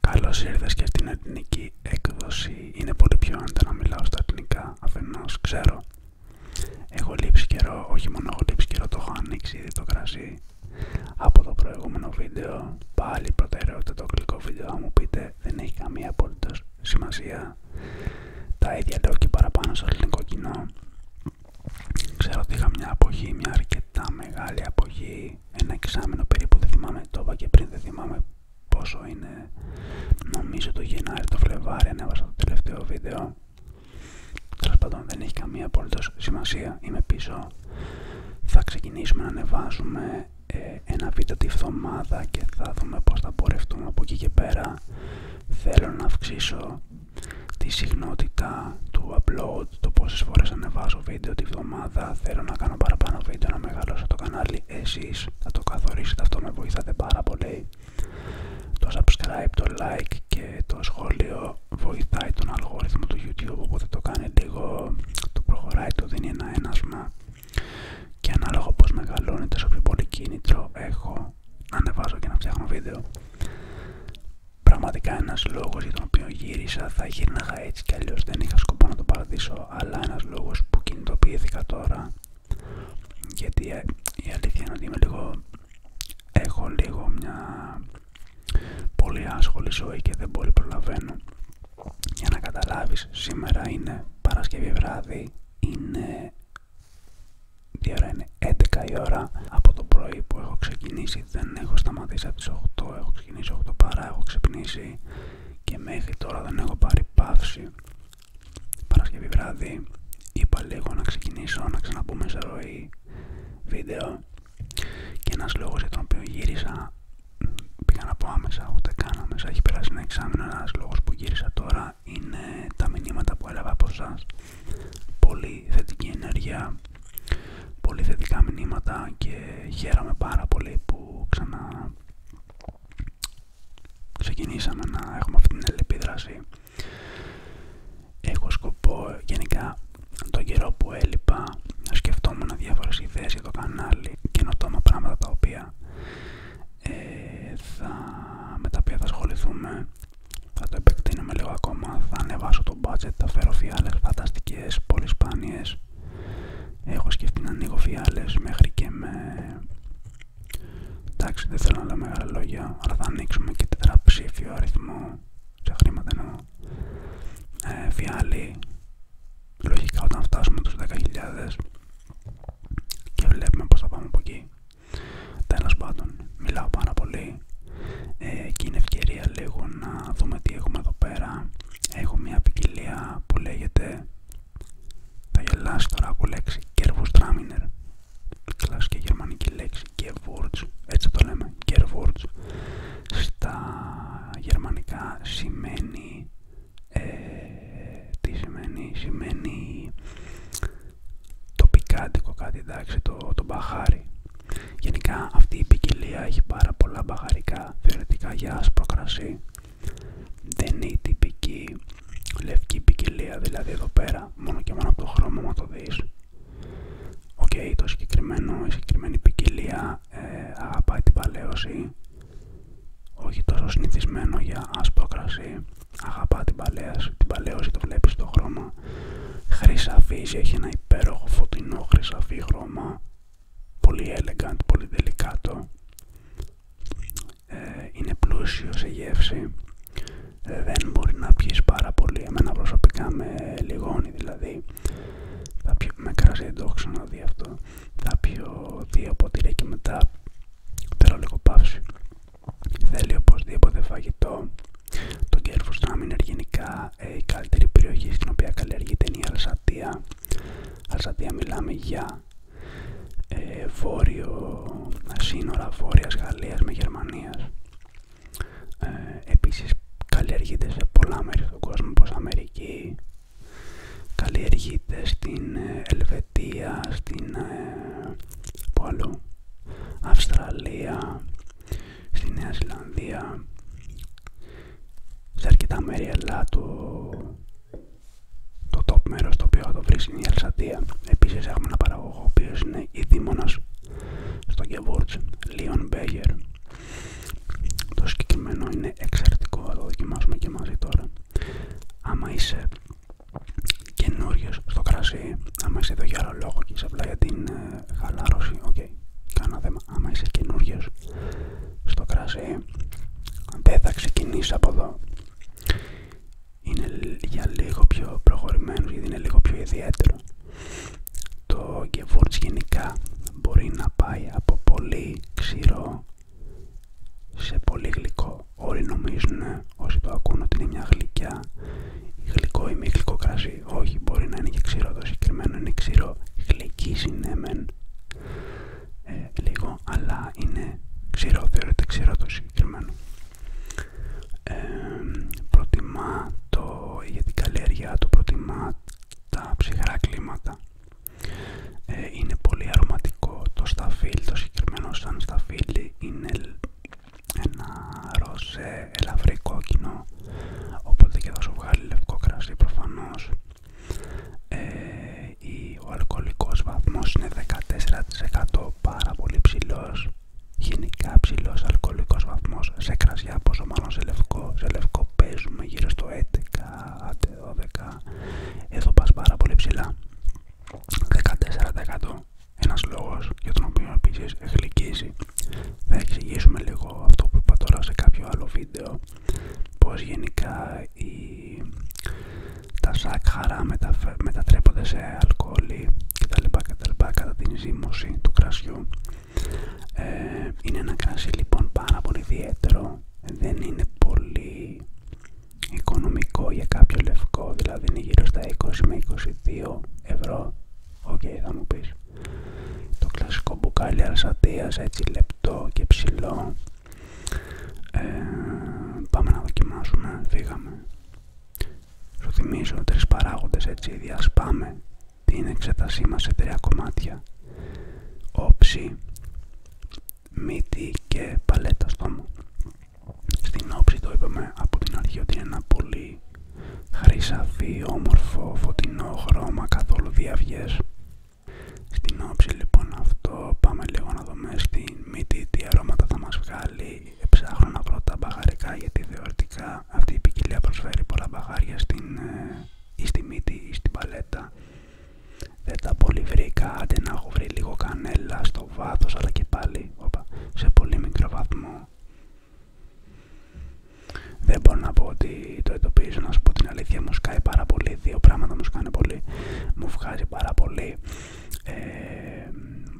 Καλώς ήρθες και στην εθνική έκδοση. Είναι πολύ πιο άνετα να μιλάω στα ελληνικά, αφενός ξέρω. Έχω λείψει καιρό, όχι μόνο έχω λείψει καιρό, το έχω ανοίξει ήδη το κρασί. Από το προηγούμενο βίντεο, πάλι προτεραιότητα το γλυκό βίντεο, αν μου πείτε δεν έχει καμία απολύτως σημασία. Τα ίδια λέω και παραπάνω στο ελληνικό κοινό. Ξέρω ότι είχα μια αποχή, μια αρκετά μεγάλη αποχή ένα εξάμεινο περίπου, δεν θυμάμαι το είπα και πριν, δεν θυμάμαι πόσο είναι. Νομίζω το Γενάρη, το Φλεβάρι, ανέβασα το τελευταίο βίντεο. Τέλο πάντων, δεν έχει καμία απολύτω σημασία. Είμαι πίσω. Θα ξεκινήσουμε να ανεβάζουμε ε, ένα βίντεο τη εβδομάδα και θα δούμε πώς θα πορευτούμε από εκεί και πέρα θέλω να αυξήσω τη συχνότητα του upload, το πόσες φορές ανεβάζω βίντεο τη βδομάδα, θέλω να κάνω παραπάνω βίντεο, να μεγαλώσω το κανάλι, εσείς θα το καθορίσετε, αυτό με βοηθάτε πάρα πολύ. Το subscribe, το like και το σχόλιο βοηθάει τον αλγόριθμο του YouTube, οπότε το κάνει λίγο, το προχωράει, το δίνει ένα ένασμα και ανάλογα πως μεγαλώνει τόσο πιο πολύ κίνητρο έχω ανεβάζω και να φτιάχνω βίντεο πραγματικά ένας λόγος για τον οποίο γύρισα θα γύρναγα έτσι κι αλλιώς δεν είχα σκοπό να το παρατήσω αλλά ένας λόγος που κινητοποιήθηκα τώρα γιατί ε, η αλήθεια είναι ότι είμαι λίγο έχω λίγο μια πολύ άσχολη ζωή και δεν πολύ προλαβαίνω για να καταλάβεις σήμερα είναι Παρασκευή βράδυ είναι 2 ώρα είναι 11 η ώρα από το πρωί που έχω ξεκινήσει δεν έχω σταματήσει από τις 8 έχω ξεκινήσει 8 παρά έχω ξυπνήσει και μέχρι τώρα δεν έχω πάρει παύση Παρασκευή βράδυ είπα λίγο να ξεκινήσω να ξαναμπούμε σε ροή βίντεο και ένας λόγος για τον οποίο γύρισα πήγα να πω άμεσα, ούτε καν άμεσα. Έχει περάσει ένα εξάμεινο. Ένα λόγο που γύρισα τώρα είναι τα μηνύματα που έλαβα από εσά. Πολύ θετική ενέργεια, πολύ θετικά μηνύματα και χαίρομαι πάρα πολύ που ξανα ξεκινήσαμε να έχουμε αυτή την αλληλεπίδραση. Έχω σκοπό γενικά τον καιρό που έλειπα να σκεφτόμουν διάφορε ιδέε για το κανάλι καινοτόμα πράγματα τα οποία ε, θα, με τα οποία θα ασχοληθούμε θα το επεκτείνουμε λίγο ακόμα, θα ανεβάσω το budget, θα φέρω φιάλες φανταστικές, πολύ σπάνιες έχω σκεφτεί να ανοίγω φιάλες μέχρι και με εντάξει δεν θέλω να λέω μεγάλα λόγια αλλά θα ανοίξουμε και τετραψήφιο αριθμό σε χρήματα εννοώ ε, λογικά όταν φτάσουμε τους 10.000 και βλέπουμε πως θα πάμε από εκεί τέλος πάντων μιλάω πάρα πολύ ε, και είναι ευκαιρία λίγο να δούμε τι έχουμε εδώ πέρα έχω μια ποικιλία που λέγεται θα γελάσει τώρα ακούω λέξη Kervurstraminer κλασική γερμανική λέξη words, έτσι το λέμε Kervurst στα γερμανικά σημαίνει ε, τι σημαίνει, σημαίνει το πικάντικο εντάξει, το, μπαχάρι. Γενικά αυτή η ποικιλία έχει πάρα πολλά μπαχαρικά θεωρητικά για άσπρο κρασί. Δεν είναι η τυπική λευκή ποικιλία, δηλαδή εδώ πέρα, μόνο και μόνο από το χρώμα μα το δεις. Οκ, το συγκεκριμένο, η συγκεκριμένη ποικιλία ε, αγαπάει την παλαίωση όχι τόσο συνηθισμένο για άσπρο κρασί, αγαπά την, παλαίαση, την παλαίωση, το βλέπεις το χρώμα, χρυσαφίζει, έχει ένα υπέροχο φωτεινό χρυσαφή χρώμα, πολύ elegant, πολύ δελικάτο, είναι πλούσιο σε γεύση, ε, δεν μπορεί να πιεις πάρα πολύ, εμένα προσωπικά με λιγώνει δηλαδή, θα πιω, με κρασί δεν το έχω ξαναδεί αυτό, θα πιω δύο ποτήρια και μετά θέλω λίγο παύση. Θέλει οπωσδήποτε φαγητό. Το κερφουστάμι είναι γενικά ε, η καλύτερη περιοχή στην οποία καλλιεργείται είναι η Αλσατία. Αλσατία μιλάμε για ε, σύνορα βόρειας Γαλλίας με Γερμανία. Επίση επίσης καλλιεργείται σε πολλά μέρη του κόσμου όπως Αμερική, καλλιεργείται στην ε, Ελβετία, στην ε, Αυστραλία, στη Νέα Ζηλανδία, σε αρκετά μέρη αλλά το, top μέρος το οποίο θα το βρεις είναι η Ελσατία. Επίσης έχουμε ένα παραγωγό ο οποίος είναι ειδήμονας στο Γκεβούρτς, Λίον Μπέγερ, το συγκεκριμένο είναι εξαιρετικό, θα το δοκιμάσουμε και μαζί τώρα. Άμα είσαι καινούριο στο κρασί, άμα είσαι εδώ για άλλο λόγο και είσαι απλά για την ε, χαλάρωση, οκ, Κάνω θέμα. Άμα είσαι καινούριο στο κρασί, δεν θα ξεκινήσει από εδώ. Είναι για λίγο πιο προχωρημένο γιατί είναι λίγο πιο ιδιαίτερο. Το Gewürz γενικά μπορεί να πάει από πολύ ξηρό σε πολύ γλυκό. Όλοι νομίζουν ε, όσοι το ακούνε ότι είναι μια γλυκιά γλυκό ή μη γλυκό κρασί. Όχι, μπορεί να είναι και ξηρό. Το συγκεκριμένο είναι ξηρό. Γλυκή συνέμεν ε, λίγο, αλλά είναι ξηρό. Θεωρείται ξηρό το συγκεκριμένο. Ε, προτιμά το, για την καλλιέργειά του προτιμά τα ψυχρά κλίματα. Ε, είναι πολύ αρωματικό το σταφύλ το συγκεκριμένο σαν σταφύλι είναι ένα ροζέ ελαφρύ κόκκινο οπότε και θα σου βγάλει λευκό κρασί προφανώς. Ε, ο αλκοολικός βαθμός είναι 14% πάρα πολύ ψηλός γενικά ψηλός αλκοολικός βαθμός σε κρασί για πόσο μάλλον σε λευκό. παίζουμε γύρω στο 11, 12. Εδώ πα πάρα πολύ ψηλά. 14%. Ένας λόγος για τον οποίο επίσης γλυκίζει. Θα εξηγήσουμε λίγο αυτό που είπα τώρα σε κάποιο άλλο βίντεο. Πως γενικά η... τα σάκχαρα μεταφε... μετατρέπονται σε αλκοόλ κτλ. κατά την ζύμωση του κρασιού. Ε, είναι ένα κρασί λοιπόν πάρα πολύ ιδιαίτερο, δεν είναι πολύ οικονομικό για κάποιο λευκό, δηλαδή είναι γύρω στα 20 με 22 ευρώ. Οκ, θα μου πεις. Το κλασικό μπουκάλι αρσατίας, έτσι λεπτό και ψηλό. Ε, πάμε να δοκιμάσουμε, φύγαμε. Σου θυμίζω τρεις παράγοντες έτσι διασπάμε την εξέτασή μας σε τρία κομμάτια όψη, μύτη και παλέτα μωρό Στην όψη το είπαμε από την αρχή ότι είναι ένα πολύ χρυσαφή, όμορφο, φωτεινό χρώμα, καθόλου διαυγές. Στην όψη λοιπόν αυτό πάμε λίγο να δούμε στην μύτη τι αρώματα θα μας βγάλει. Ψάχνω να βρω τα μπαγαρικά γιατί θεωρητικά αυτή η ποικιλία προσφέρει πολλά μπαγάρια στην, ε, στη μύτη ή στην παλέτα. Δεν τα πολύ βρήκα, άντε να έχω βρει λίγο κανέλα στο βάθος, αλλά και πάλι οπα, σε πολύ μικρό βαθμό. Δεν μπορώ να πω ότι το εντοπίζω, να σου πω την αλήθεια, μου σκάει πάρα πολύ, δύο πράγματα μου σκάνε πολύ. Μου βγάζει πάρα πολύ, ε,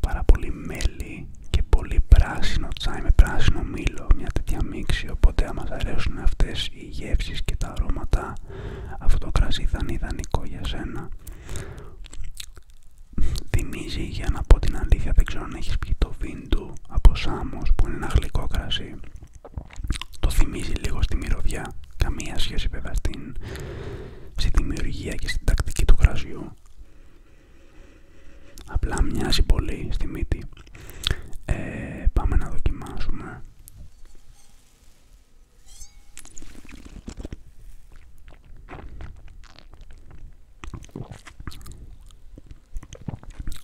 πάρα πολύ μέλι, και πολύ πράσινο τσάι με πράσινο μήλο, μια τέτοια μίξη. Οπότε, άμα αρέσουν αυτές οι γεύσεις και τα αρώματα, αυτό το κρασί θα είναι ιδανικό για σένα. Θυμίζει, για να πω την αλήθεια, δεν ξέρω αν έχεις πει το βίντου από Σάμος, που είναι ένα γλυκό κρασί. Το θυμίζει λίγο στη μυρωδιά, καμία σχέση βέβαια στην, στη δημιουργία και στην τακτική του κρασιού. Απλά μοιάζει πολύ στη μύτη. Ε, πάμε να δοκιμάσουμε.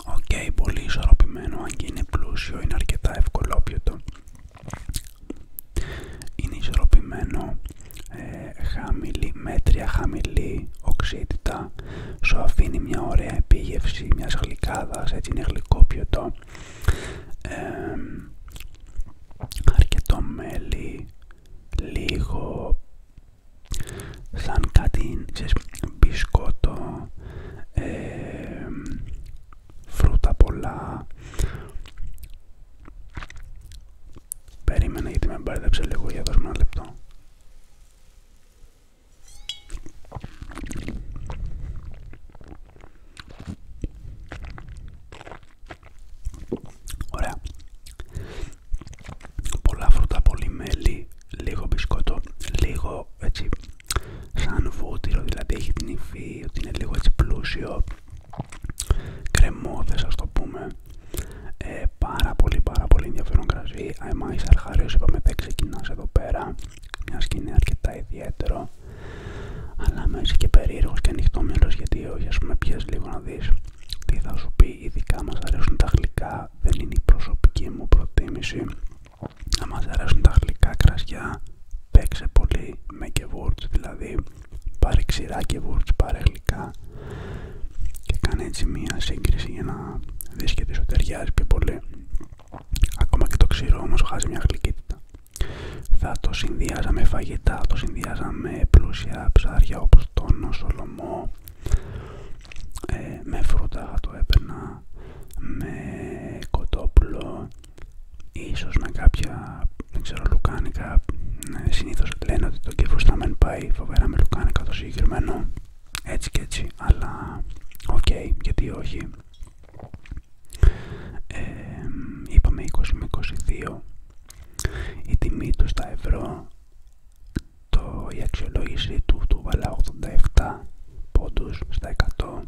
Οκ, πολύ ισορροπημένο, αν και είναι πλούσιο, είναι αρκετά ευκολόπιωτο. Είναι ισορροπημένο, ε, χαμηλή, μέτρια χαμηλή οξύτητα σου αφήνει μια ωραία επίγευση μιας γλυκάδας, έτσι είναι γλυκό πιωτό αρκετό μέλι, λίγο σαν κάτι ξέρεις, μπισκότο, φρούτα πολλά Περίμενα γιατί με μπέρδεψε λίγο για δώσουμε ένα λεπτό. Ωραία. Πολλά φρούτα, πολύ μέλι, λίγο μπισκότο, λίγο έτσι σαν βούτυρο, δηλαδή έχει την υφή ότι είναι λίγο έτσι πλούσιο κρεμώδες ας το πούμε ε, πάρα πολύ πάρα πολύ ενδιαφέρον κρασί είσαι αρχάριος είπαμε δεν ξεκινάς εδώ πέρα μια σκηνή αρκετά ιδιαίτερο αλλά με είσαι και περίεργος και ανοιχτόμυαλος γιατί όχι ας πούμε πιες λίγο να δεις τι θα σου πει ειδικά μας αρέσουν τα γλυκά δεν είναι η προσωπική μου προτίμηση να μας αρέσουν τα γλυκά κρασιά παίξε πολύ με και words δηλαδή πάρε ξηρά και βούρτς, πάρε γλυκά και κάνε έτσι μία σύγκριση για να δεις και τι σου ταιριάζει πιο πολύ ακόμα και το ξηρό όμως χάζει μια γλυκύτητα θα το συνδυάζα με φαγητά, το συνδυάζα με πλούσια ψάρια όπως τόνο, σολομό ε, με φρούτα το έπαιρνα με κοτόπουλο ίσως με κάποια δεν ξέρω, λουκάνικα. Ναι, Συνήθω λένε ότι το κεφουστάμεν πάει φοβερά με λουκάνικα το συγκεκριμένο. Έτσι και έτσι, αλλά οκ, γιατί όχι. είπαμε 20 με 22. Η τιμή του στα ευρώ, το, η αξιολόγηση του, του βάλα 87 πόντους στα 100.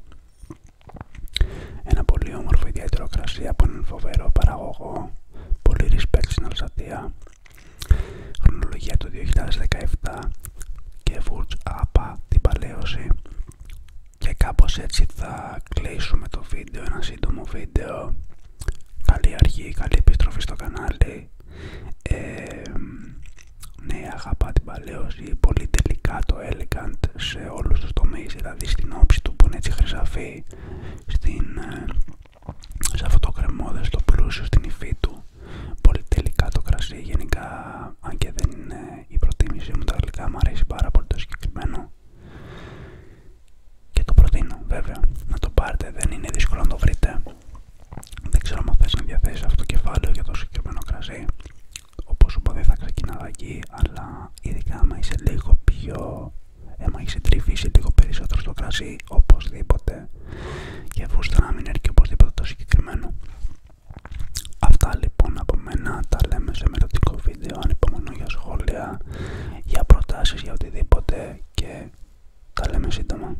Ένα πολύ όμορφο ιδιαίτερο κρασί από έναν φοβερό παραγωγό Πολύ respect στην Χρονολογία του 2017 και φουτς Απα την παλαίωση. Και κάπως έτσι θα κλείσουμε το βίντεο, ένα σύντομο βίντεο. Καλή αρχή, καλή επιστροφή στο κανάλι. Ε, ναι, αγαπά την παλαίωση, πολύ τελικά το elegant σε όλους τους τομείς, δηλαδή στην όψη του που είναι έτσι χρυσαφή, στην, ε, σε αυτό το κρεμόδες, το πλούσιο στην υφή του. Πολύ τελικά το κρασί, γενικά αν και δεν είναι η προτίμησή μου τα γλυκά, μου αρέσει πάρα πολύ το συγκεκριμένο. Και το προτείνω βέβαια, να το πάρετε, δεν είναι δύσκολο να το βρείτε. Δεν ξέρω αν να διαθέσεις αυτό το κεφάλαιο για το συγκεκριμένο κρασί. Όπως σου είπα δεν θα ξεκινάω εκεί, αλλά ειδικά άμα είσαι λίγο πιο Εμα μα λίγο περισσότερο στο κρασί, οπωσδήποτε. Και βούστα να μην οπωσδήποτε το συγκεκριμένο. Αυτά λοιπόν από μένα τα λέμε σε μελλοντικό βίντεο. αν Ανυπομονώ για σχόλια, για προτάσεις, για οτιδήποτε και τα λέμε σύντομα.